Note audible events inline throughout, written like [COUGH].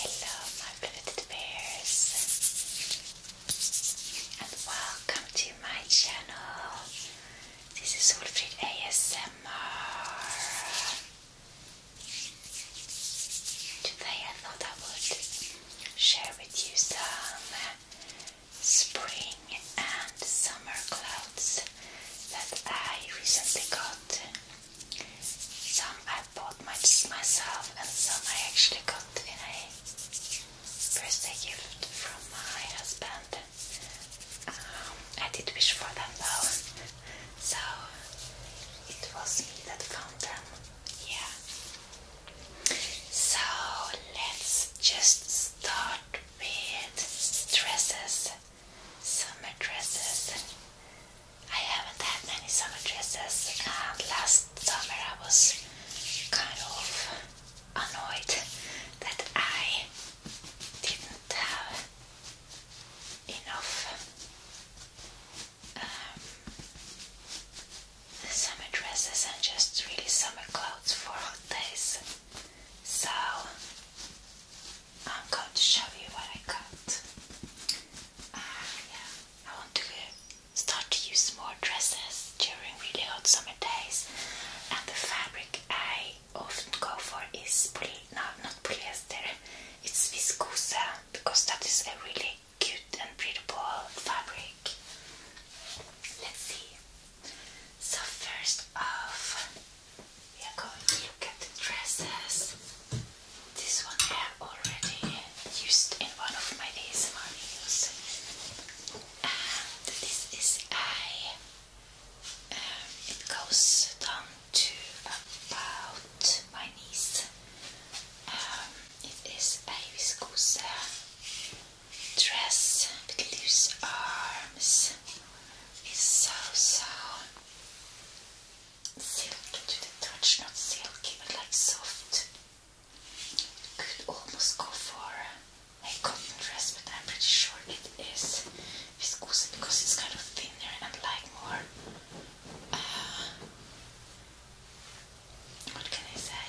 Hello, my beloved bears, and welcome to my channel. This is Wolfried ASMR. Today, I thought I would share with you some spring and summer clouds that I recently got some I bought myself, and some I actually got in a birthday gift from my husband. Um, I did wish for them though, so it was me that found them. Yeah. So let's just start with dresses summer dresses. I haven't had many summer dresses. Um, last summer I was kind of annoyed that I didn't have enough um, summer dresses and just really summer clothes for hot days. So I'm going to show you what I got. Ah, yeah, I want to uh, start to use more dresses during really hot summer days. And the fabric I often go for is poly no, not polyester. It's viscose because that is a really cute and breathable fabric. Let's see. So first off, we are going to look at the dresses. This one I have already used in one of my days ASMR videos. And this is I. um, it goes down to about my knees. Um, it is a viscose dress with loose arms. It's so so silky to the touch, not silky but like soft. You could almost go for a cotton dress, but I'm pretty sure it is viscose because it's kind of thinner and like more. Uh, what can I say?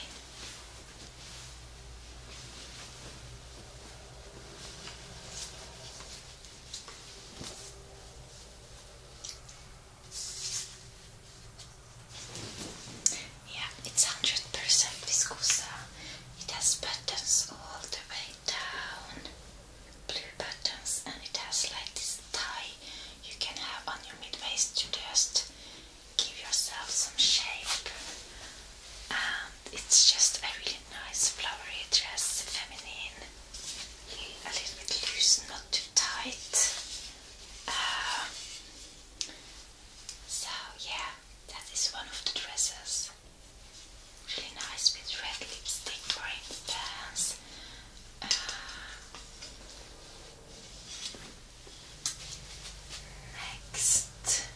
Yeah, it's 100% viscosa. It has buttons all the way down, blue buttons, and it has like this tie you can have on your mid waist to just give yourself some shape. And it's just a really nice flowery dress, feminine a little bit loose, not too tight. Um, so yeah, that is one of the dresses. Really nice with red lipstick, for instance. Uh, next,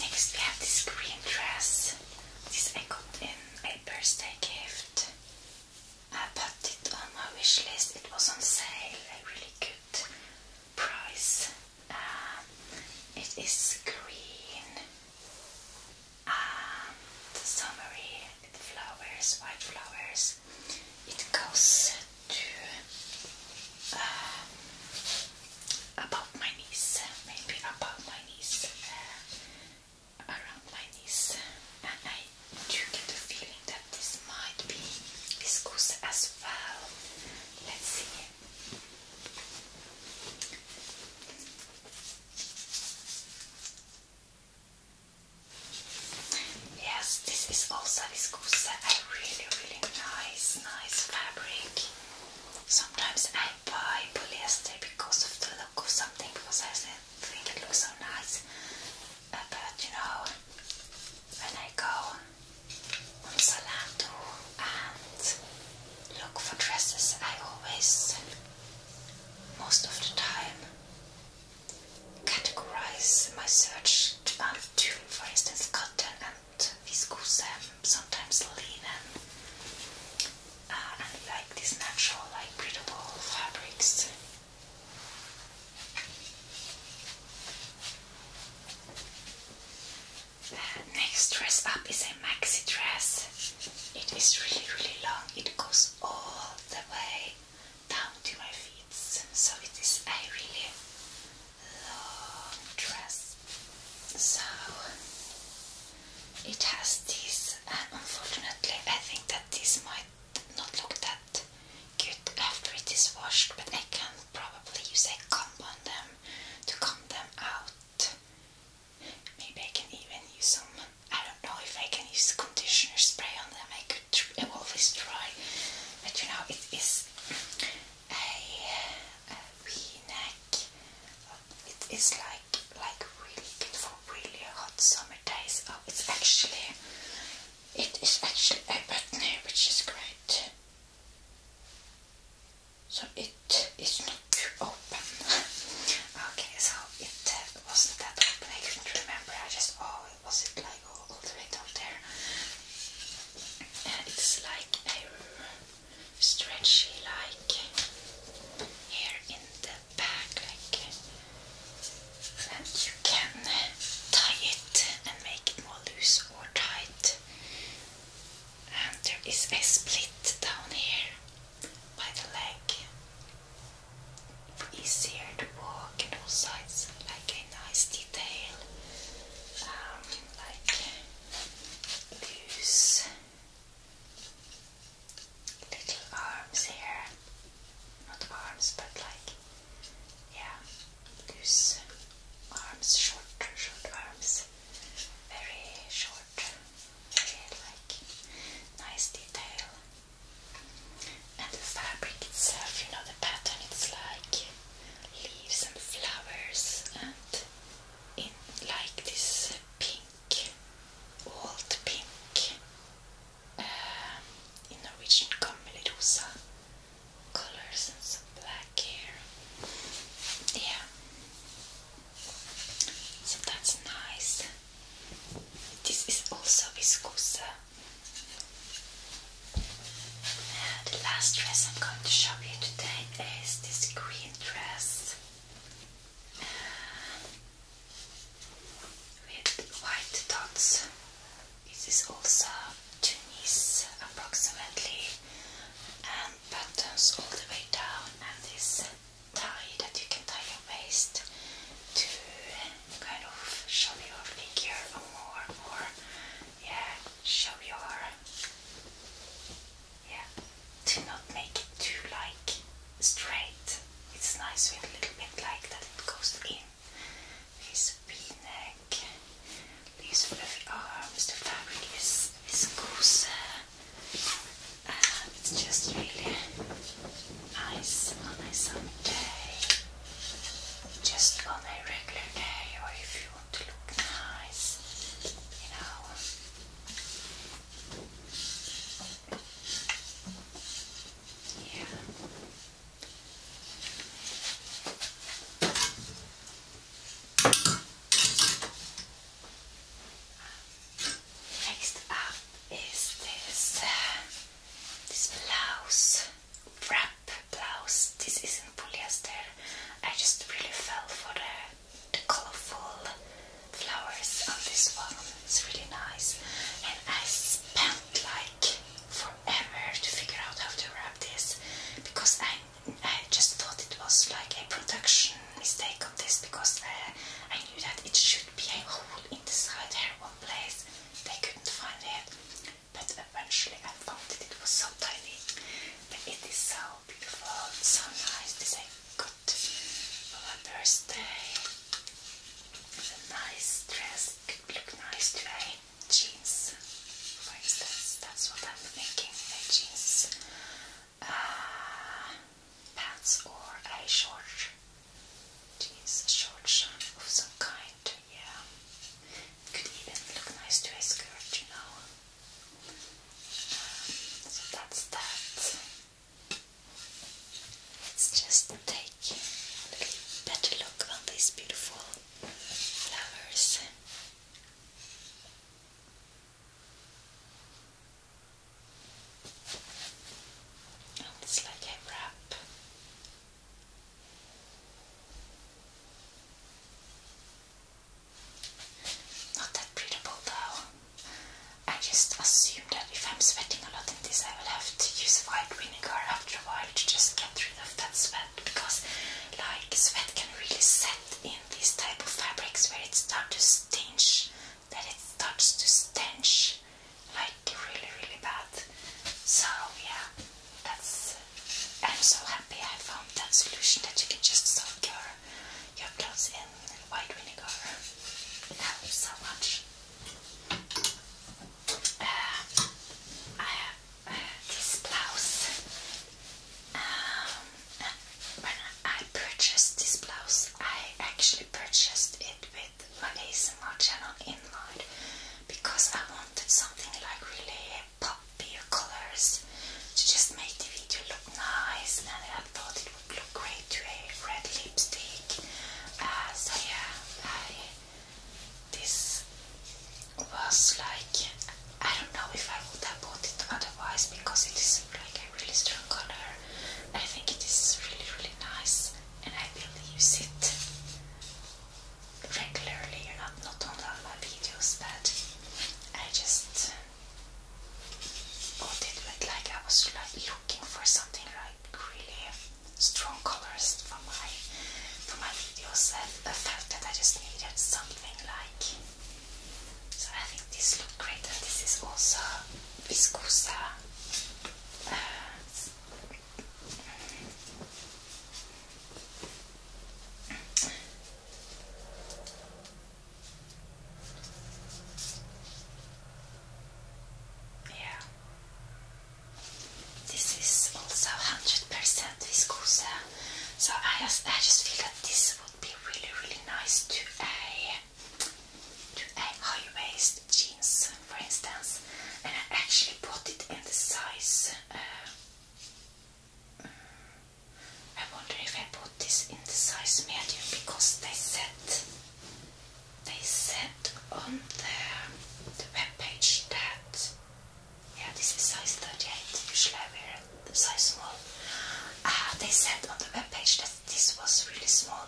Next we have this green dress. This I got in a birthday gift. I put it on my wish list. It was on sale, a really good price. Um, it is green and um, summery with flowers, white flowers it goes to uh, my knees, maybe above my knees, uh, around my knees, and I do get the feeling that this might be viscose as well. Let's see. Yes, this is also this viscose, a really, really nice, nice fabric. Sometimes I buy polyester because of the look of something, because I think it looks so nice. Uh, but you know, when I go on Zalando and look for dresses, I always, most of the time, categorize my search um, out of for instance, cotton and viscose, um, sometimes linen, uh, and like these natural, like breathable fabrics. Uh, next dress up is a maxi dress. It is really, really long. It goes all the way down to my feet. So it is a really long dress. So it has this, and unfortunately, I think that this might not look that good after it is washed, but I can probably use a comb on them to comb them out. Maybe I can even use some. I don't know if I can use conditioner spray on them. I could I always try, but you know it is a, a V-neck. It is like like really good for really hot summer days. Oh, it's actually it is actually a button here, which is great. So it is not too open. [LAUGHS] okay, so it uh, wasn't that open. I couldn't remember. I just oh, was it like? all the way down there. Uh, it's like a stretchy, like here in the back, like, you can tie it and make it more loose or tight. And there is a split down here by the leg. Easier to walk and all sides like nice detail, um, like loose little arms here. Not arms, but like, yeah, loose arms, short, short arms, very short, very like nice detail. And the fabric itself, you know, the pattern, it's like leaves and flowers and in like this pink, old pink, um, in Norwegian Kammelrosa colors and some black here. Yeah. So that's nice. This is also viscose the last dress I'm going to show you today is this green dress with white dots. This is also two knees approximately and buttons all the way down and this tie that you can tie your waist to kind of show your figure more or yeah, show your yeah. Do not make it too like straight. It's nice with a little bit like that it goes in. This V-neck, these fluffy arms, the fabric is viscose. Uh, it's just really nice on a summer day just on a regular day or if you want to look nice, you know. Yeah. Um, next up is this uh, this blouse wrap blouse. This isn't polyester. I just really fell for the, the colorful flowers on this one. It's really nice. And I spent like forever to figure out how to wrap this because I I just thought it was like a production mistake of this because uh, I knew that it should be a hole in the side here one place. They couldn't find it but eventually I found that it was so tiny. But it is so beautiful, so nice. This I got for my birthday. It's a nice dress, it could look nice today. Jeans, for instance, that's what I'm thinking. A jeans uh, pants or a short jeans, a short of some kind yeah. Could even look nice to a skirt, you know. Um, so that's that. Let's just take a better look on these beautiful flowers. And oh, it's like a wrap not that breathable though. I just assume that if I'm sweating a lot in this, I will have to use white vinegar after a while to just get rid of that sweat because, like, sweat can really set in these type of fabrics where it starts to stench, that it starts to stench. I really, really bad. So yeah, that's. I'm so happy I found that solution that you can just soak your your clothes in white vinegar. It helps so much. Uh, I have uh, this blouse. Um, when I purchased this blouse, I actually purchased it with my ASMR channel in mind, because I wanted something like really poppy colors to just make the video look nice and I thought it would look great to a red lipstick. Uh, so yeah, this was like, I don't know if I would have bought it otherwise because it is like a really strong color. I think it is really really nice and I will use it regularly or not, not on all my videos, but I just uh, got it with like I was like looking for something like really strong colors for my for my videos and I felt that I just needed something like so I think this look great and this is also viscosa uh, yeah. This is also 100% viscose, so I just I just feel that this would be really really nice to a to a high waist jeans for instance, and I actually bought it in the size. Uh, mm, I wonder if I bought this in the size medium because they said they said on the, the web page that yeah this is size 38 usually I wear the size small. Uh, they said on the web that this was really small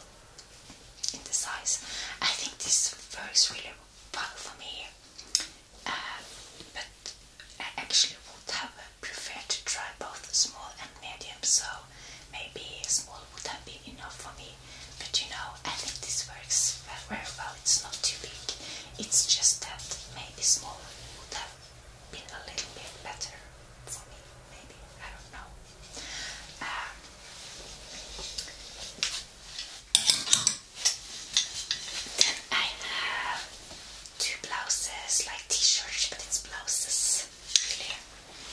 in the size. I think this works really fun for me. Uh, but I actually would have preferred to try both small and medium, so maybe small would have been enough for me. But you know, I think this works very well. It's not too big. It's just that maybe small would have been a little bit better for me. Maybe I don't know. Um, then I have two blouses, like t-shirts, but it's blouses.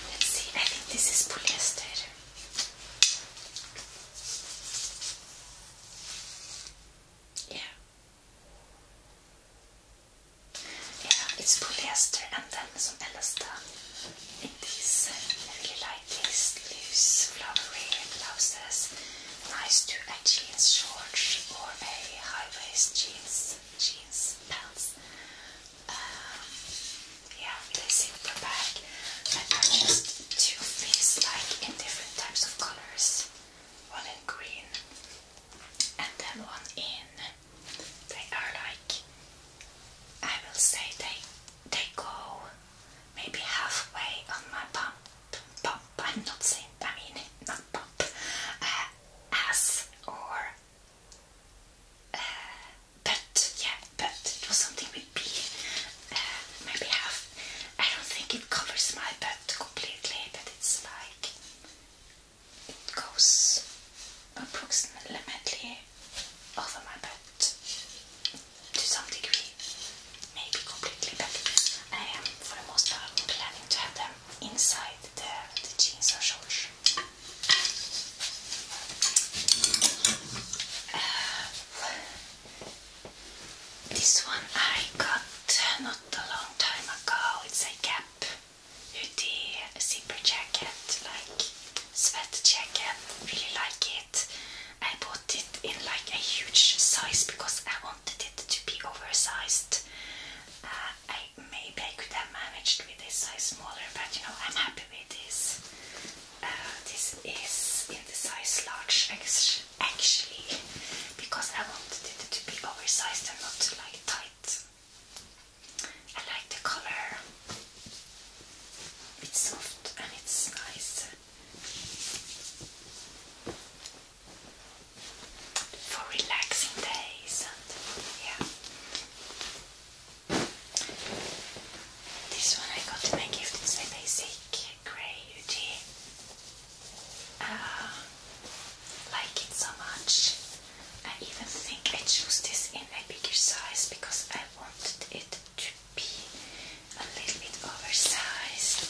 Let's see. I think this is polyester. Yeah. Yeah, it's polyester and then some elasta in these. Uh, really like like loose flowery blouses, nice to jeans short or a high waist jeans jeans pants. Um, yeah, really simple bag. I purchased two of like in different types of colors. One in green and then one in they are like I will say they they go maybe halfway on my pump. Pump. I'm not saying. I mean, not pump. Uh, ass or. Uh, yeah, but it was something with B. Uh, maybe half. I don't think it covers my butt completely, but it's like it goes approximately over my butt to some degree, maybe completely, but I am for the most part planning to have them inside the, jeans or shorts. Uh, this one I got not a long time ago. It's a cap hoodie, a zipper jacket, like sweat jacket. Really like it. I bought it in like a huge size because I wanted it to be oversized. Uh, I maybe I could have managed with a size smaller, but you know I'm happy with this. Uh, this is in the size large actually because I wanted it to be oversized and not like tight. I like the color. It's soft and it's nice. For relaxing days and yeah. This one I got in my gift, it's a basic grey UG. Uh, like it so much. I even think I chose this in a bigger size because I wanted it to be a little bit oversized.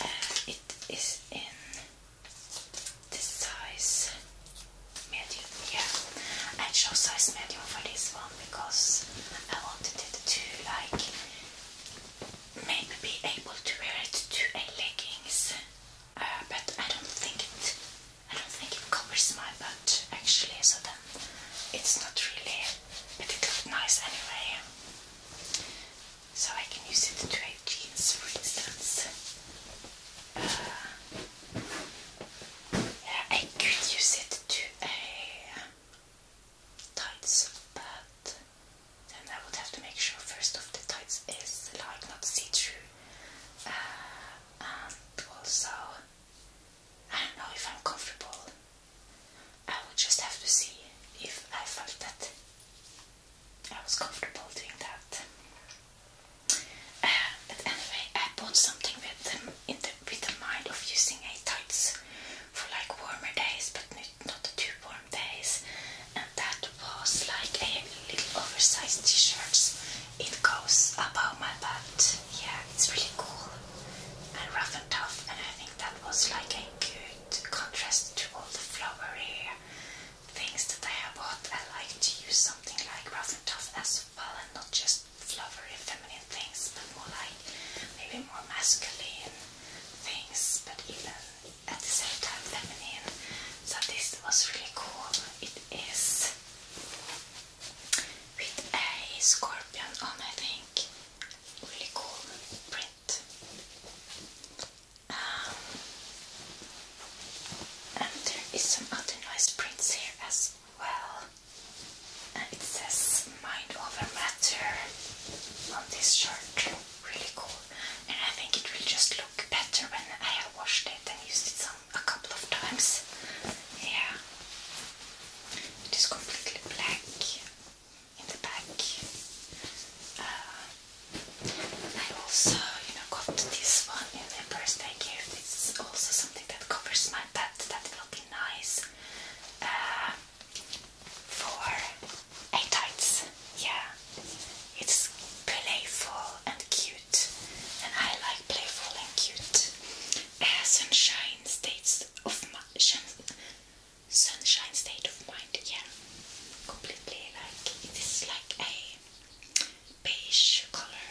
Uh, it is in the size medium, yeah. I chose size medium for this one because I wanted it to like maybe be able to wear it to leggings, uh, but I don't think it I don't think it covers my butt actually, so then it's not really, but it looked nice anyway. So I can use it to create jeans, for instance. Uh, yeah, I could use it to a uh, tights, but then I would have to make sure first of the tights is like not see-through, uh, and also I don't know if I'm comfortable. I would just have to see if I felt that I was comfortable doing that. Uh, but anyway, I bought something with the with the mind of using a tights for like warmer days, but not too warm days. And that was like a little oversized t-shirts. It goes above my butt yeah, it's really cool and rough and tough, and I think that was like a good contrast to all the flowery things that I have bought. I like to use something like rough and tough as well, and not just flowery feminine things, but more like maybe more masculine things, but even at the same time feminine. So this was really cool. It is with a scorpion on, I think. Really cool print. Um, and there is some other nice prints here as well. And it says mind over matter on this shirt. Really cool. And I think it will just look better when I have washed it and used it some a couple of times. Yeah, it is completely black in the back. Uh, I also, you know, got this one in the birthday gift. It's also something that covers my bed. That will be nice uh, for eight Yeah, it's playful and cute and I like playful and cute. Uh, sunshine states of mind. Sunshine state of mind. Yeah, completely like it is like a beige color.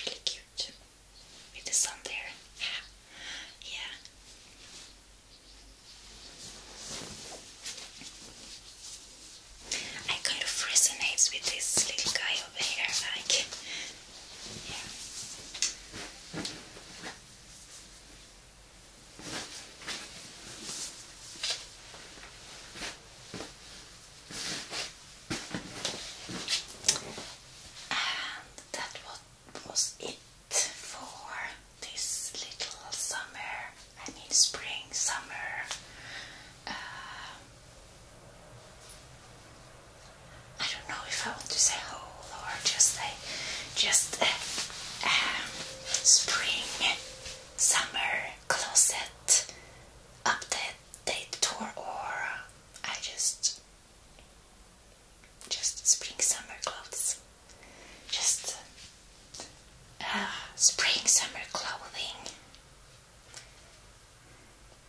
Really cute with the sun there. yeah. It kind of resonates with this little guy over here, like And that was it for this little summer. I mean, spring, summer. Um, I don't know if I want to say whole or just a just a, um, spring summer closet update tour or I just just spring summer clothes just uh, spring summer clothing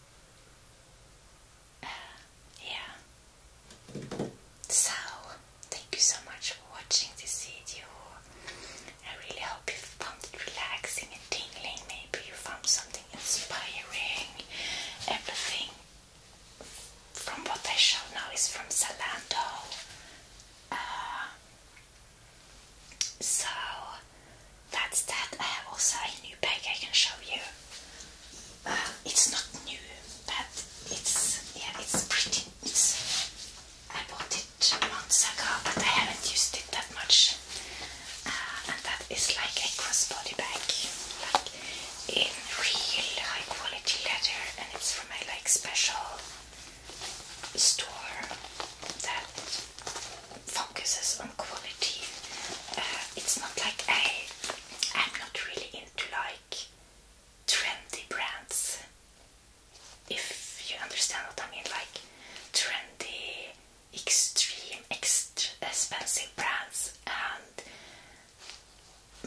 [SIGHS] yeah. So, thank you so much for watching this video. I really hope you found it relaxing and tingling. Maybe you found something inspiring. Everything from what I show now is from Zalando. Uh, so that's that. I uh, have also a new bag I can show you. Um, it's not new, but it's yeah, it's pretty. It's, I bought it months ago, but I haven't used it that much. Uh, and that is like a crossbody bag, like in real high quality leather, and it's from a like special store that focuses on quality. Uh, it's not like I, I'm not really into like trendy brands. If you understand what I mean, like trendy, extreme, expensive brands, and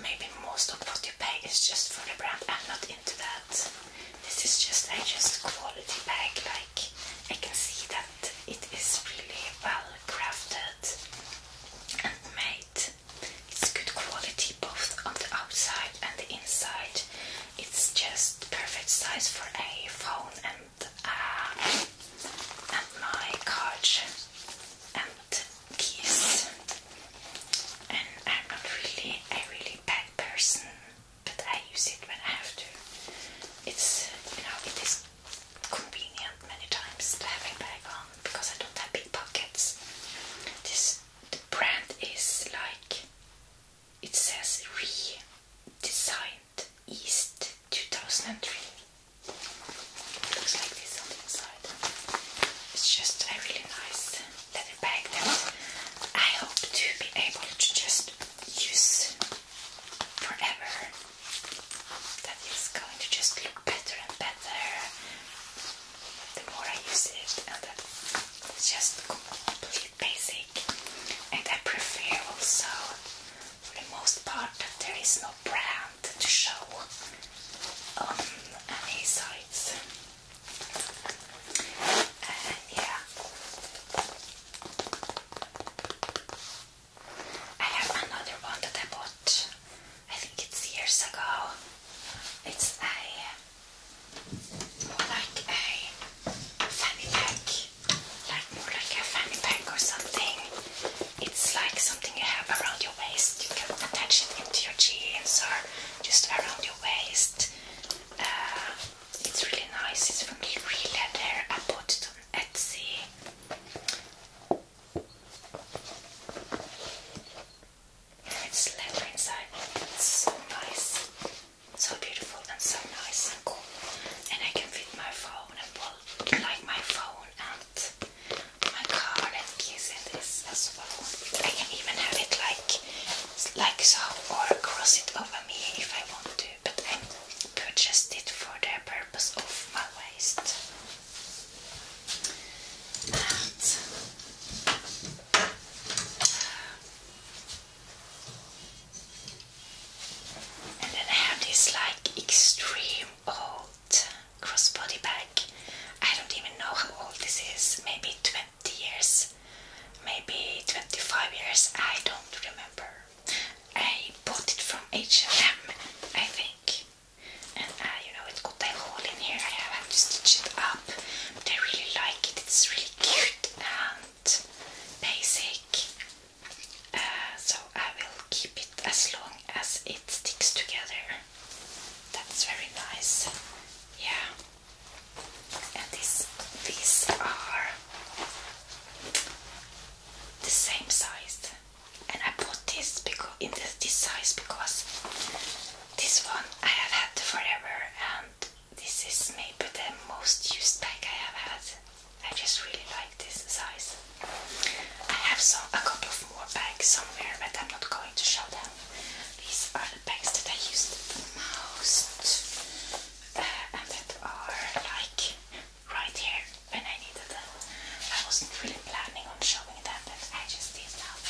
maybe most of what you pay is just for the brand. I'm not into that. This is just I just quality bag. Like, I can see that it is really well crafted and made. It's good quality both on the outside and the inside. It's just perfect size for a phone and uh, and my card and keys. And I'm not really a really bad person but I use it when I have to. It's you know it is convenient many times the bag on because I don't have big pockets. This the brand is like it says redesigned East 2003. Looks like this on the inside. It's just a really nice leather bag that I hope to be able to just use forever that going to just look better and better the more I use it and that it's just complete basic and I prefer also for the most part that there is no brand to show on any sites and yeah I have another one that I bought, I think it's years ago. It's a more like a fanny pack, like more like a fanny pack or something. It's like something you have around your waist. You can attach it into your jeans or just around your waist. Uh, it's really nice. It's really, really leather. I bought it on Etsy. It's leather inside. It's so nice, so beautiful, and so nice and cool. And I can fit my phone and well, like my phone and my car and keys in this as well. I can even have it like like so, or cross it over me if I want to but I purchased it for the purpose of my waist. and then I have this like extreme old crossbody bag. I don't even know how old this is, maybe 20 years maybe 25 years, I don't remember. I bought it from H&M, I think. And uh, you know, it has got a hole in here, I have to stitch it up. But I really like it, it's really cute and basic. Uh, so I will keep it as long as it sticks together. That's very nice. Yeah and this, these are the same size and I bought this in this size because this one I have had forever and this is maybe the most used bag I have had. I just really like this size. I have some a couple of more bags somewhere but I'm not going to show them. These are the bags that I used the most and that are like right here when I needed them. I wasn't really planning on showing them, but I just did that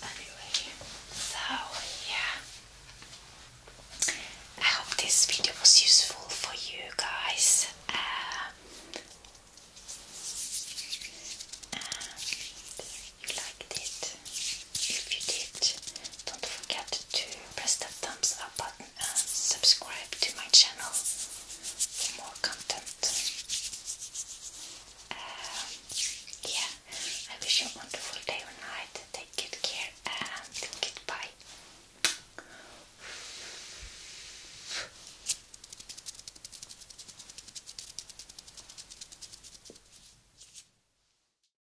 Anyway, so yeah. I hope this video was useful for you guys. Uh, um, you liked it. If you did, don't forget to press the thumbs up button and subscribe to my channel for more content. Um, yeah, I wish you a wonderful day or night. Take good care and goodbye.